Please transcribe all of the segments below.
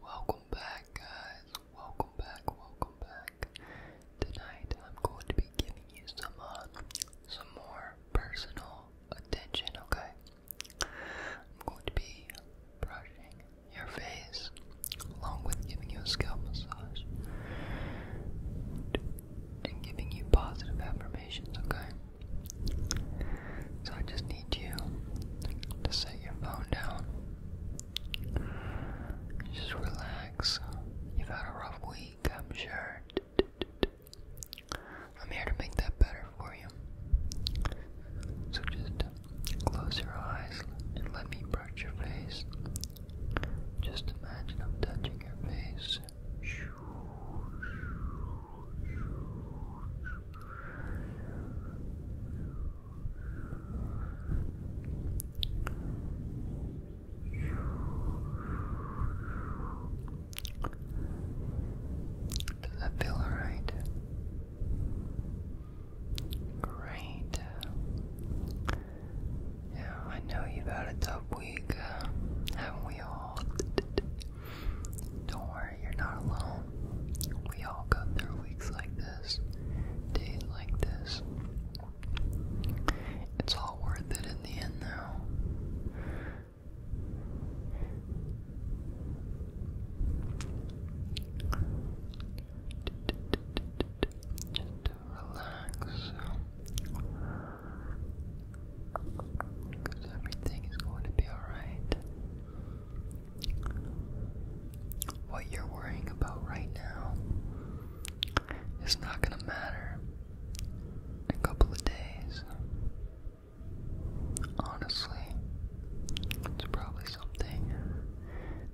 Welcome back, guys. Welcome back. Welcome back. Tonight, I'm going to be giving you some uh, some more personal attention. Okay, I'm going to be brushing your face along with giving you a scalp massage and giving you positive affirmations. Okay. So I just need you to set your phone down. Just relax. You've had a rough week, I'm sure. I'm here to make that better for you. So just close your eyes and let me brush your face. Just imagine I'm touching your face. Does that feel alright? Great. Yeah, I know you've had a tough week, uh, haven't we all? Don't worry, you're not alone. We all go through weeks like this, days like this. It's all worth it in the end, though. relax. So everything is going to be alright. What you're worrying about right now is not going to matter in a couple of days. Honestly, it's probably something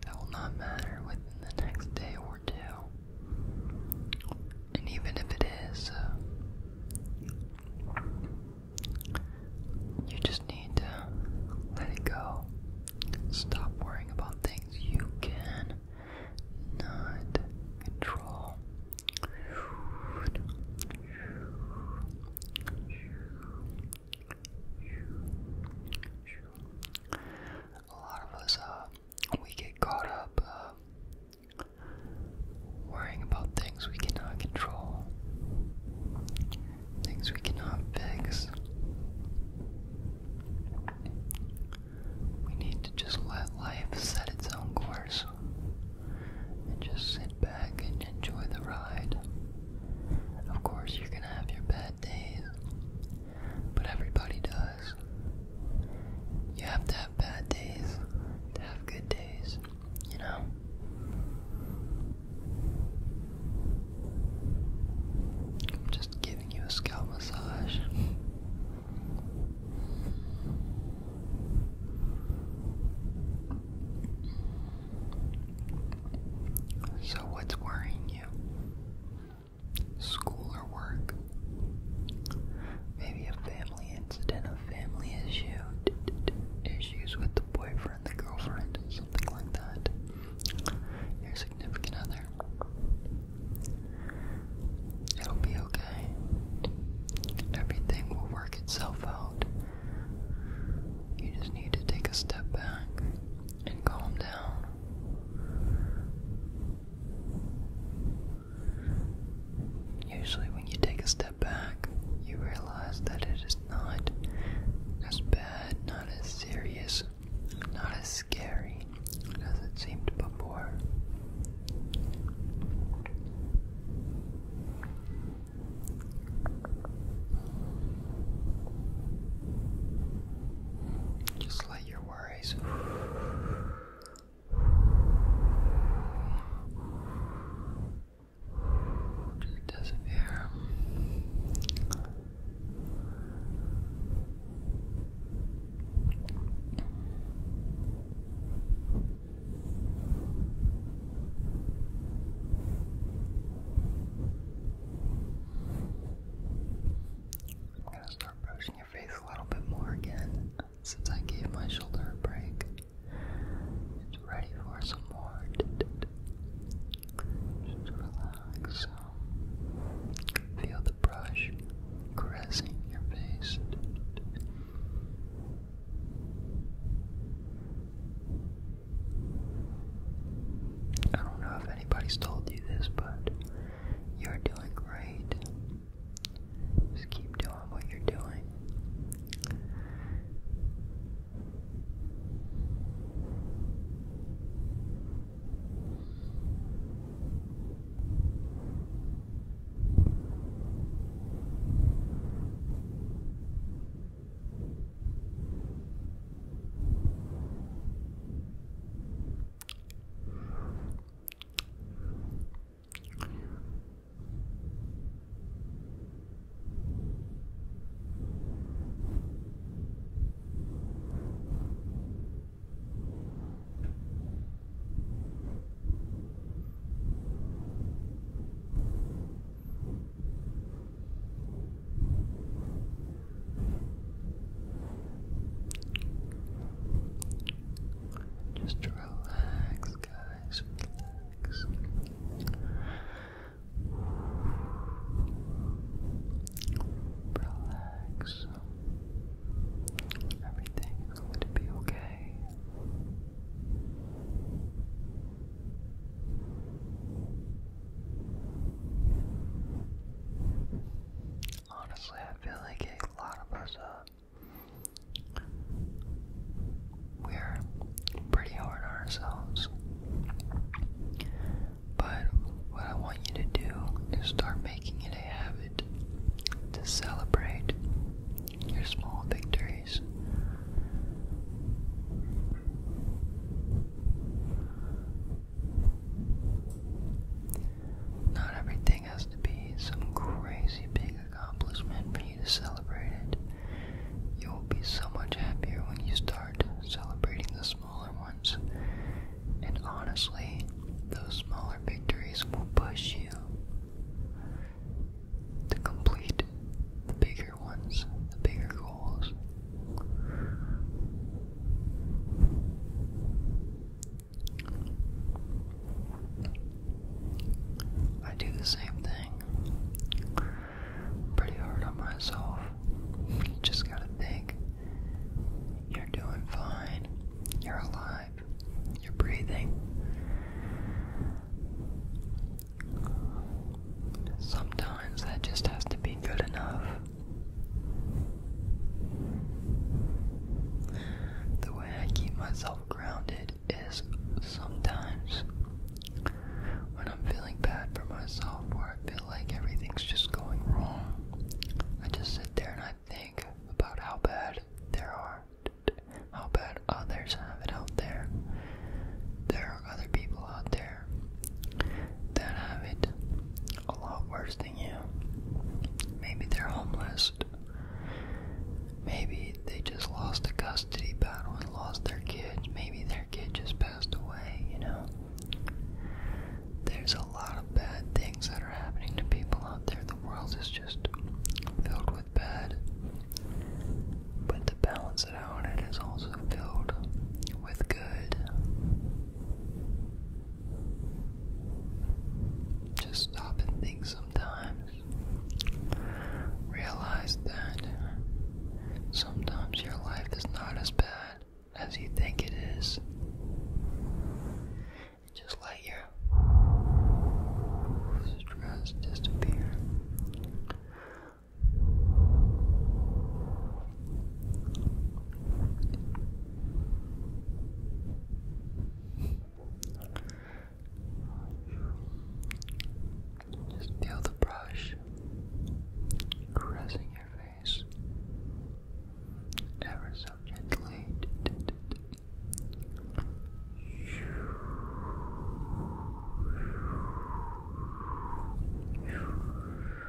that will not matter within the next day or two. And even if it is, uh, you just need to let it go. Stop worrying about things you can not control. A lot of us, uh, we get caught up uh, Worrying about things we cannot control, things we cannot fix. We need to just let life set its own course and just sit back and enjoy the ride. Of course, you're gonna have your bad days, but everybody does. You have to have bad days to have good days you know? I'm just giving you a scalp massage. So, what's worrying you? School or work? Maybe a family incident, a family issue, issues with the boyfriend, the girlfriend, something like that. Your significant other. It'll be okay. Everything will work itself out. You just need to take a step back and calm down. Usually, when you take a step back, you realize that it is not as bad, not as serious, not as scary as it seemed before. Just let your worries just disappear. I'm gonna start brushing your face a little bit more again since I gave my shoulder a break. It's ready for some more. Just relax. Feel the brush caressing your face. I don't know if anybody's told you this, but you're doing great. Just keep doing what you're doing. Just try relax, guys, relax. Relax. Everything going to be okay. Honestly, I feel like a lot of us uh, we're pretty hard on ourselves. But what I want you to do is start making it a habit to celebrate your small victories. Not everything has to be some crazy big accomplishment for you to celebrate it. You will be so much happier when you start celebrating the smaller ones. And honestly, those smaller victories will push you to complete the bigger ones, the bigger goals. I do the same thing. Pretty hard on myself. just gotta think you're doing fine, you're alive, you're breathing. Sometimes that just has to be good enough. The way I keep myself grounded is sometimes when I'm feeling bad for myself or I feel like everything's just going wrong, I just sit there and I think about how bad there are, how bad others have it out there. There are other people out there that have it a lot worse than you. Maybe they're homeless. Maybe they just lost a custody battle and lost their kids. Maybe their kid just passed away, you know? There's a lot of bad things that are happening to people out there. The world is just filled with bad. But to balance it out, it is also filled with good. Just stop and think sometimes. Realize that sometimes your life is not as bad as you think it is. Just let your stress disappear. Just the brush caressing your face ever so gently.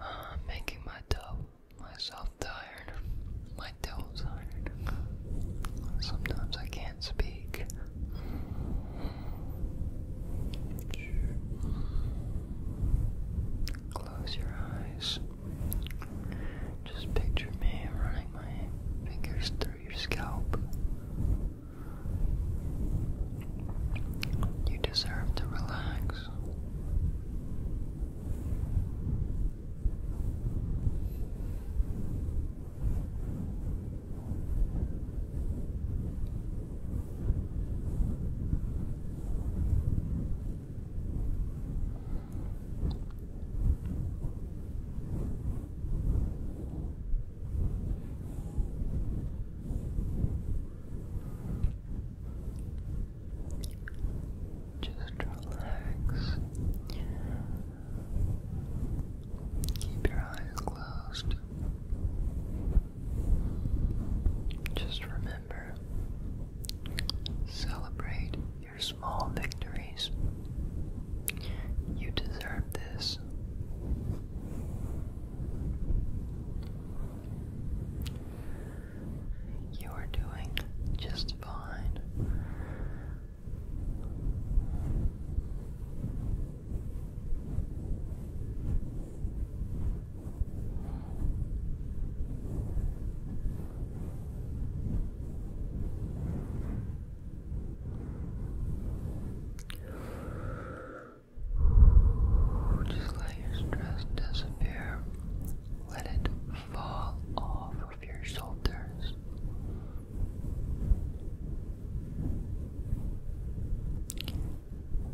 I'm making my toes myself tired, my toe tired. Sometimes I can't speak. Close your eyes. Just picture me running my fingers through your scalp. You deserve to relax. Just relax. Keep your eyes closed. Just remember Celebrate your small victories. You deserve this. You are doing just fine. Just let your stress disappear. Let it fall off of your shoulders.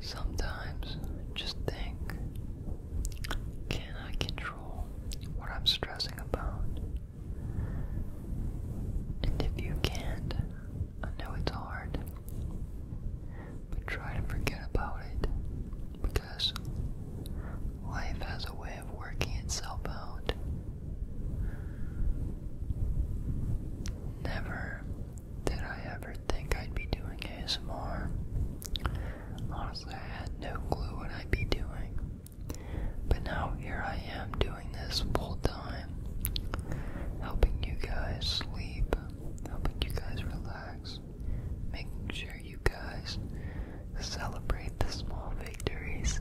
Sometimes just think can I control what I'm stressing about? And if you can't, I know it's hard, but try to forget about it because life has a way of working itself out. Never did I ever think I'd be doing ASMR? Honestly, I had no clue what I'd be doing. But now here I am doing this full time, helping you guys sleep, helping you guys relax, making sure you guys celebrate the small victories.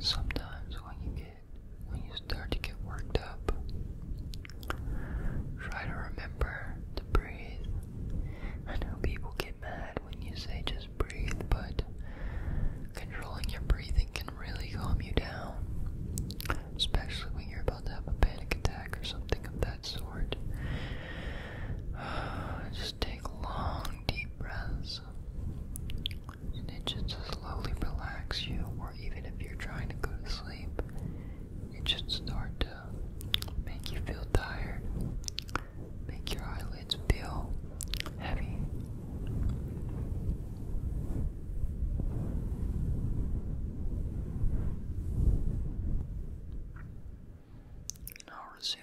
Sometimes when you get when you start to get worked up, try to remember to breathe. I know people get mad when you say just breathe, but controlling your breathing can really calm you down, especially when you're about to have a panic attack or something of that sort. take long, deep breaths. And it should slowly relax you, or even if you're trying to go to sleep, it should start to make you feel tired, make your eyelids feel heavy. And I'll resume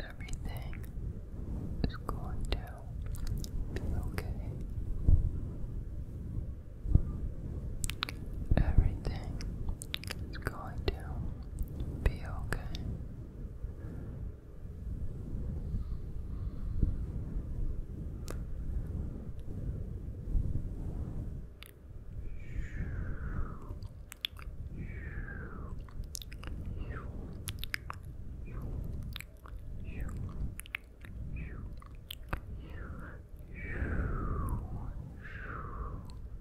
Everything is going to be okay. Everything it's going to be okay.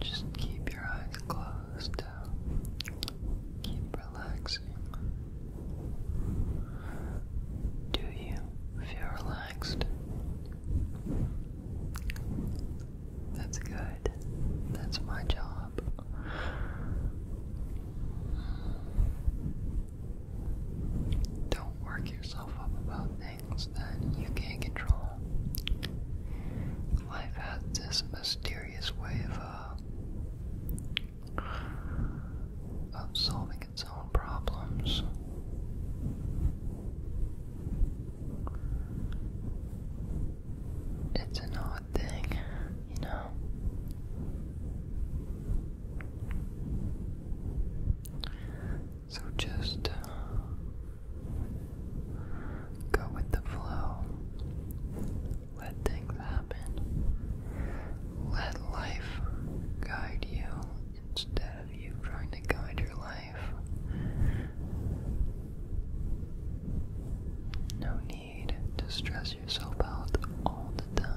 Just keep your eyes closed. Keep relaxing. Do you feel relaxed? That's good. That's my job. Don't work yourself up about things that you can't control. Life has this mysterious way of, uh, of solving its own problems. It's an odd thing, you know. So just uh, go with the flow. Let things happen. Let life guide you instead of you trying to guide your life. No need to stress yourself out all the time.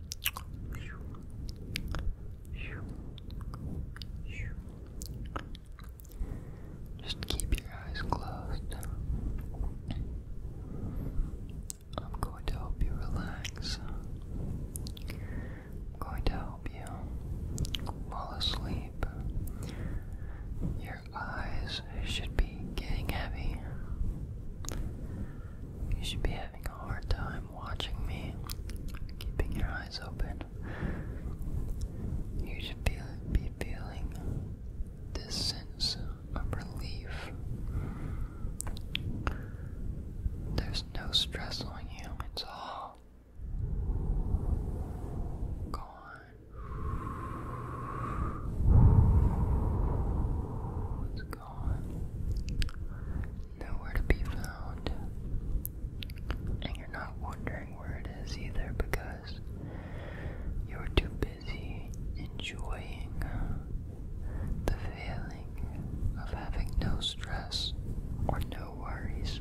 Just keep your eyes closed. I'm going to help you relax. going to help you fall asleep. Your eyes should be getting heavy. You should be having a hard time watching me, keeping your eyes open, you should be, feeling this sense of relief. There's no stress on you, it's all gone nowhere to be found. And you're not wondering where it is either because you're too busy enjoying the feeling of having no stress or no worries.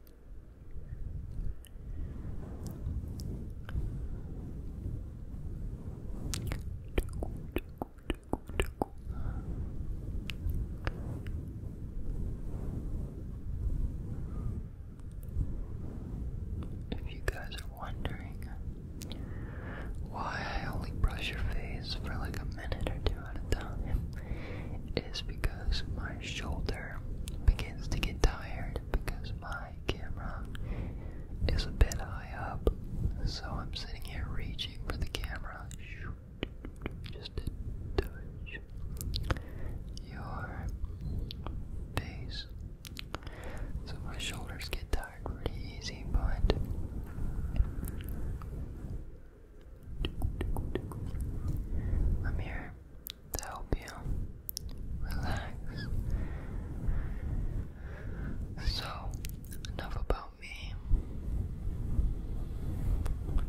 If you guys are wondering why I only brush your face for like a minute or two at a time, it is because my shoulder begins to get tired because my camera is a bit high up, so I'm sitting here reaching for the camera just touch your face. So my shoulders get tired pretty easy, but I'm here to help you relax. So, enough about me.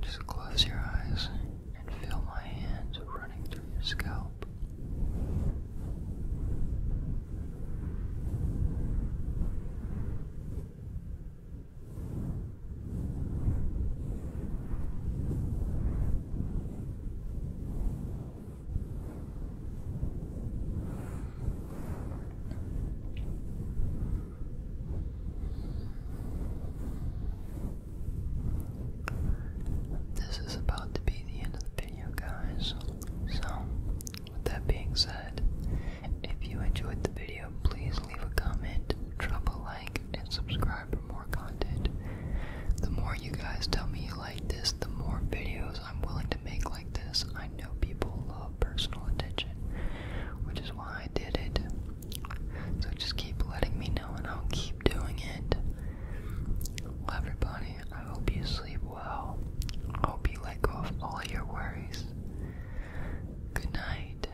Just close your eyes and feel my hands running through your scalp. This is about to be the end of the video, guys. So, with that being said, if you enjoyed the video, please leave a comment, drop a like and subscribe for more content. The more you guys tell me you like this, the more videos I'm willing to make like this. I know people love personal attention, which is why I did it. So just keep letting me know and I'll keep doing it. Well, everybody, I hope you sleep well. hope you let go of all your worries. Good night.